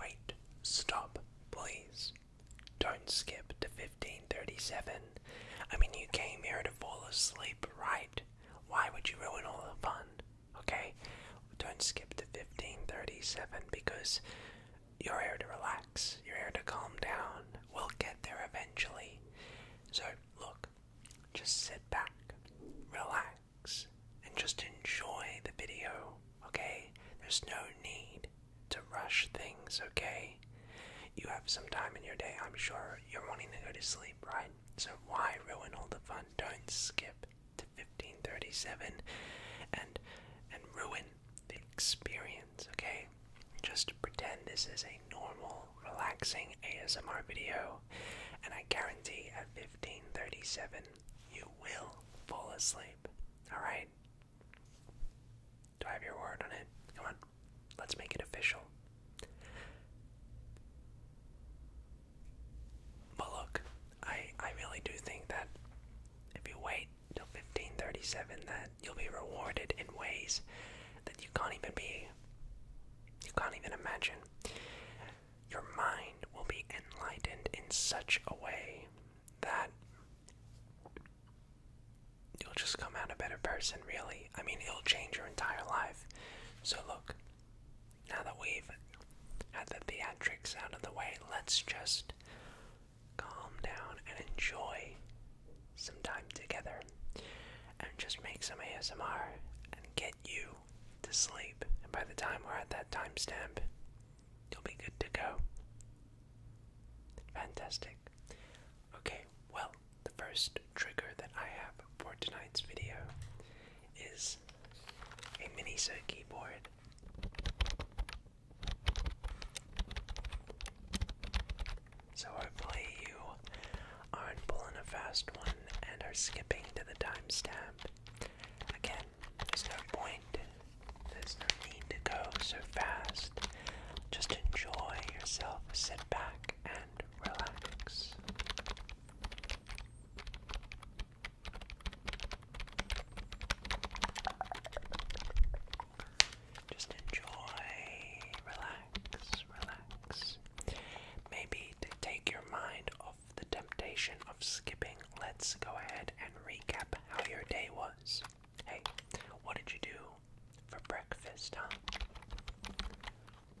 Wait, stop, please. Don't skip to 1537. I mean, you came here to fall asleep, right? Why would you ruin all the fun? Okay? Don't skip to 1537 because you're here to relax, you're here to calm down. We'll get there eventually. So, look, just sit back, relax and just enjoy the video, okay? There's no need to rush things, okay? You have some time in your day, I'm sure you're wanting to go to sleep, right? So why ruin all the fun? Don't skip to 1537 and and ruin the experience, okay? Just pretend this is a normal, relaxing ASMR video, and I guarantee at 1537 you will fall asleep. Alright? Do I have your word on it? Come on. Let's make it official. But look, I I really do think that if you wait till 1537 that you'll be rewarded in ways that you can't even be you can't even imagine. Your mind will be enlightened in such a way that you'll just come out a better person, really. I mean, it'll change your entire life. So, look, now that we've had the theatrics out of the way, let's just calm down and enjoy some time together and just make some ASMR and get you to sleep. And by the time we're at that timestamp, You'll be good to go. Fantastic. Okay, well, the first trigger that I have for tonight's video is a Minisa keyboard. So hopefully you aren't pulling a fast one and are skipping to the timestamp Again, there's no point, there's no need to go so fast. Just enjoy yourself, sit back and relax. Just enjoy, relax, relax. Maybe to take your mind off the temptation of skipping, let's go ahead and recap how your day was. Hey, what did you do for breakfast, huh?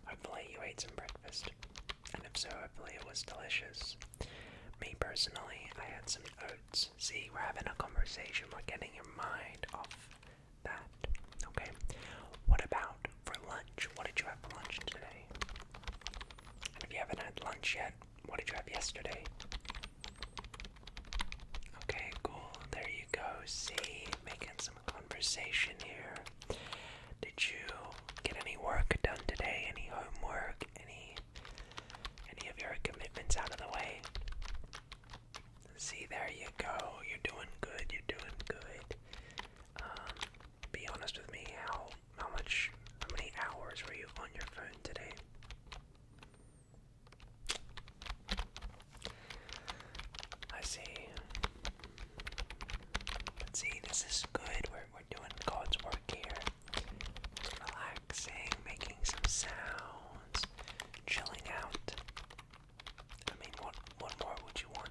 Hopefully, you ate some breakfast. And if so, hopefully, it was delicious. Me personally, I had some oats. See, we're having a conversation, we're getting your mind off that. Okay, what about for lunch? What did you have for lunch today? if you haven't had lunch yet, what did you have yesterday? Okay, cool. There you go. See, making some conversation here. Did you get any work done today? Any homework? Any any of your commitments out of the way? See, there you go. You're doing good. You're doing good. Um, be honest with me. How how much, how many hours were you on your phone today? I see. let see, this is good. We're, we're doing God's work here. Relaxing, making some sounds, chilling out. I mean, what, what more would you want?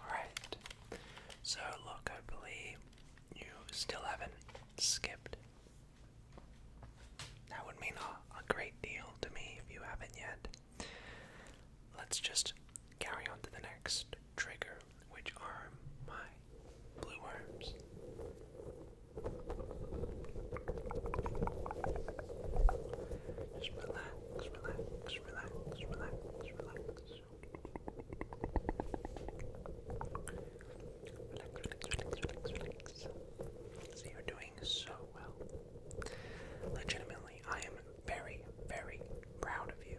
Alright, so look, I believe you still haven't skipped. That would mean a great deal to me if you haven't yet. Let's just carry on to the next trigger which are my blue worms. relax, relax, relax, relax, relax. Relax, you're doing so well. Legitimately, I am very, very proud of you.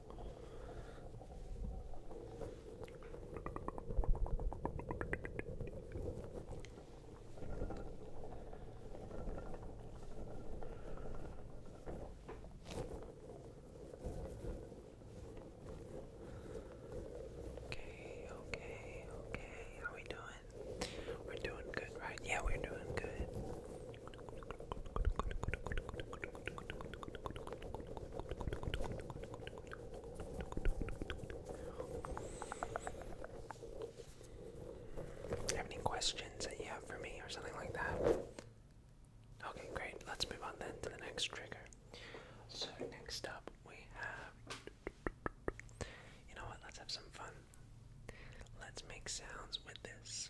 Okay, okay, okay. How we doing? We're doing good, right? Yeah, we're doing good. Have any questions that you have for me or something like that? Okay, great. Let's move on then to the next trigger. So, next up we have. You know what? Let's have some fun. Let's make sounds with this.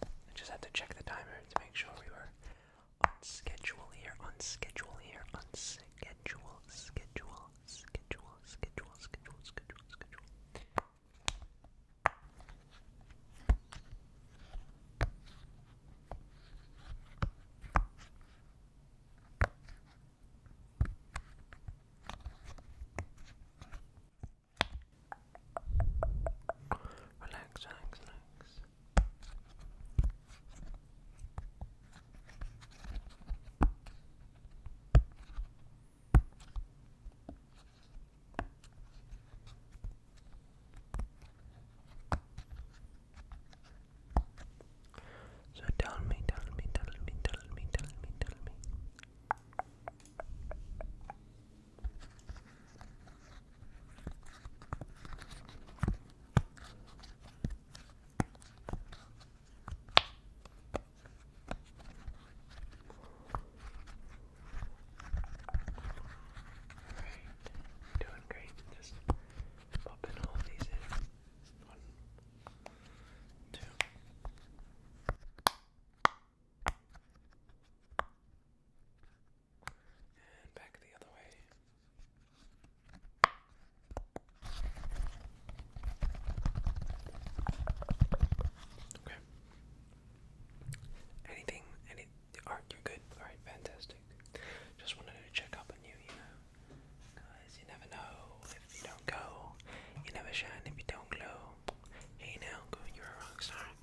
I just had to check the timer to make sure we were on schedule here, on schedule here, on schedule, schedule, schedule, schedule, schedule, schedule, schedule. Relax, relax, relax. So tell me, tell me, tell me, tell me, tell me, tell me. Alright, doing great. Just popping all of these in. One, two. And back the other way. Okay. Anything? Any? Are you good? All right, fantastic. Just wanted to check up on you, you know, because you never know if you don't go, you never shine if you don't glow. Hey now, go, you're a rock star.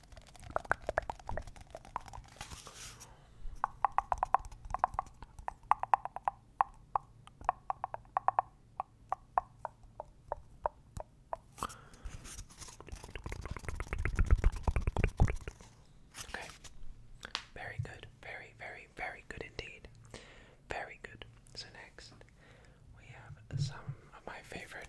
Okay. Very good. Very, very, very good indeed. Very good. So next we have some of my favorite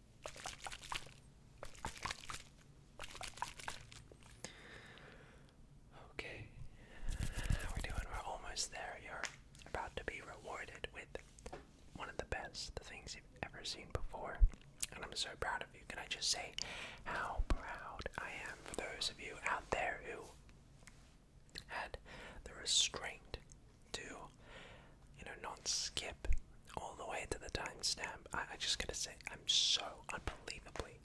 Okay, we're doing, we're almost there. You're about to be rewarded with one of the best things you've ever seen before. And I'm so proud of you. Can I just say how proud I am for those of you out there who had the restraint to, you know, not skip all the way to the timestamp. I, I just gotta say, I'm so unbelievably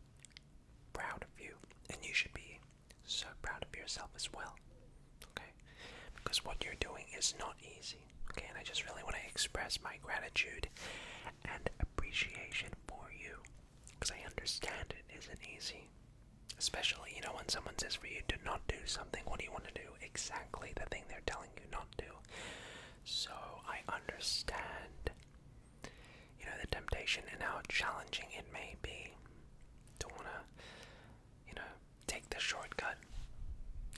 proud of you, and you should be so proud of yourself as well. Okay, because what you're doing is not easy. Okay, and I just really want to express my gratitude and appreciation for you, because I understand it isn't easy. Especially, you know, when someone says for you, to not do something, what do you want to do? Exactly the thing they're telling you not to. So I understand, you know, the temptation and how challenging it may be to wanna, you know, take the shortcut.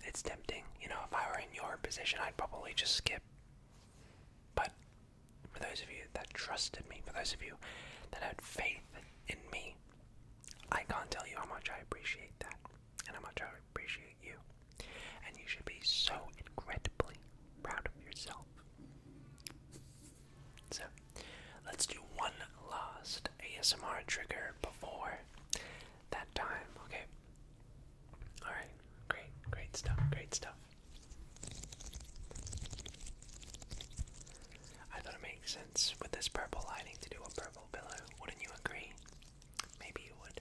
It's tempting. You know, if I were in your position, I'd probably just skip. But for those of you that trusted me, for those of you that had faith in me, I can't tell you how much I appreciate that and gonna try to appreciate you. And you should be so incredibly proud of yourself. So, let's do one last ASMR trigger before that time, okay? Alright, great, great stuff, great stuff. I thought it makes sense with this purple lighting to do a purple pillow, wouldn't you agree? Maybe you would.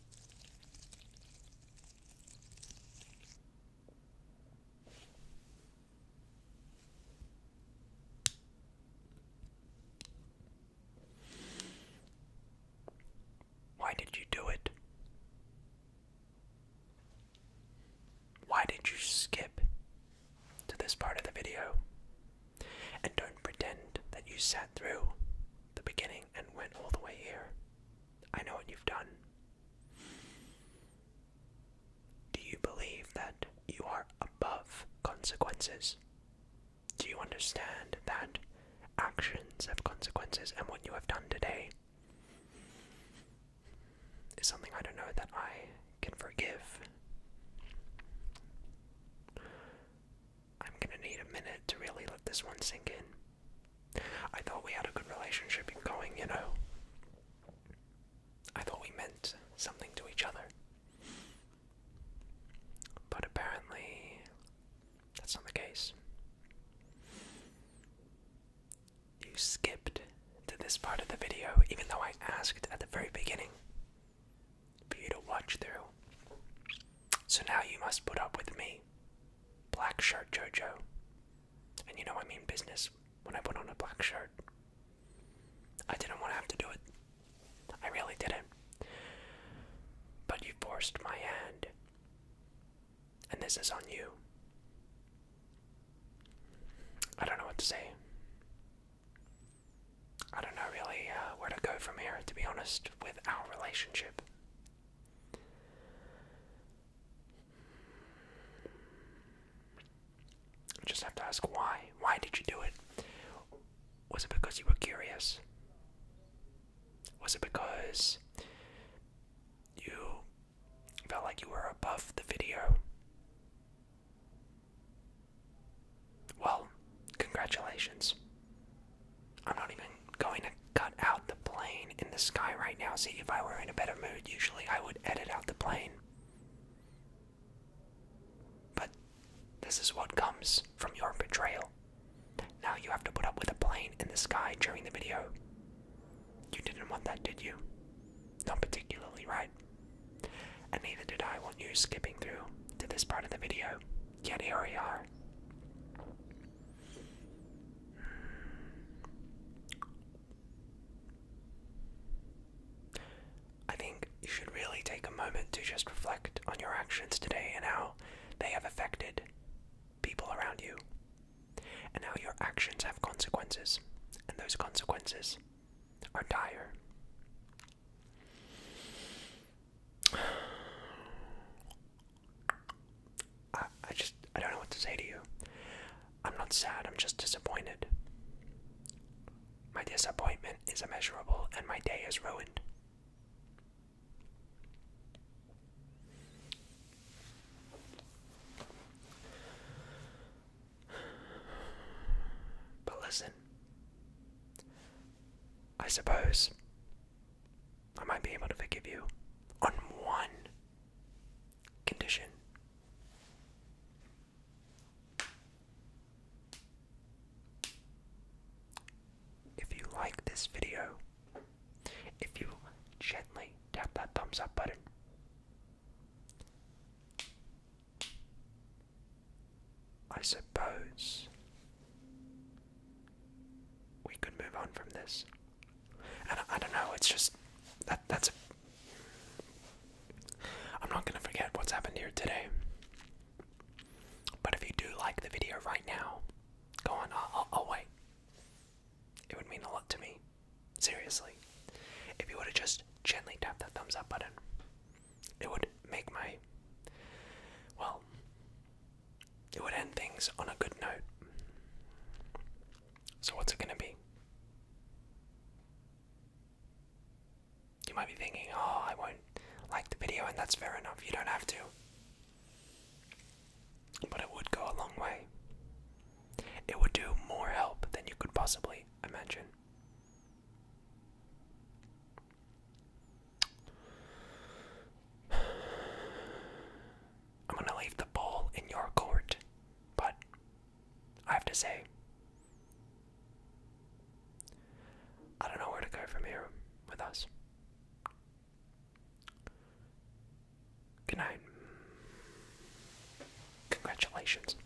Why did you do it? Why did you skip to this part of the video? And don't pretend that you sat through the beginning and went all the way here. I know what you've done. Do you believe that you are above consequences? Do you understand that actions have consequences and what you have done today is something I don't know that I can forgive? I'm gonna need a minute to really let this one sink in. I thought we had a good relationship going, you know. I thought we meant something to each other. But apparently, that's not the case. You skipped to this part of the video, even though I asked at the very beginning for you to watch through. So now you must put up with me, Black Shirt JoJo. And you know I mean business when I put on a black shirt. I didn't want to have to do it. I really didn't. But you forced my hand. And this is on you. I don't know what to say. I don't know really uh, where to go from here, to be honest, with our relationship. I just have to ask why. Why did you do it? Was it because you were curious? Was it because you felt like you were above the video? Well, congratulations. I'm not even going to cut out the plane in the sky right now. See, if I were in a better mood, usually I would edit out the plane. But this is what comes from your betrayal. Now you have to put up with a plane in the sky during the video. You didn't want that, did you? Not particularly, right? And neither did I want you skipping through to this part of the video. Get here we are. I think you should really take a moment to just reflect on your actions today and how they have affected people around you, and how your actions have consequences, and those consequences are dire. I, just I don't know what to say to you. I'm not sad, I'm just disappointed. My disappointment is immeasurable and my day is ruined. But listen, I suppose I might be able to forgive you on one condition. If you like this video, if you gently tap that thumbs up button, I suppose we could move on from this. And I, don't know. It's just that that's. A, I'm not gonna forget what's happened here today. But if you do like the video right now, go on. I'll, i I'll wait. It would mean a lot to me. Seriously. If you would have just gently tapped that thumbs up button, it would make my. Well, it would end things on a good note. So, what's it going to be? You might be thinking, oh, I won't like the video, and that's fair enough, you don't have to. But it would go a long way. It would do more help than you could possibly imagine. I'm going to leave the ball in your court, but I have to say, I don't know where to go from here with us. Good night. Congratulations.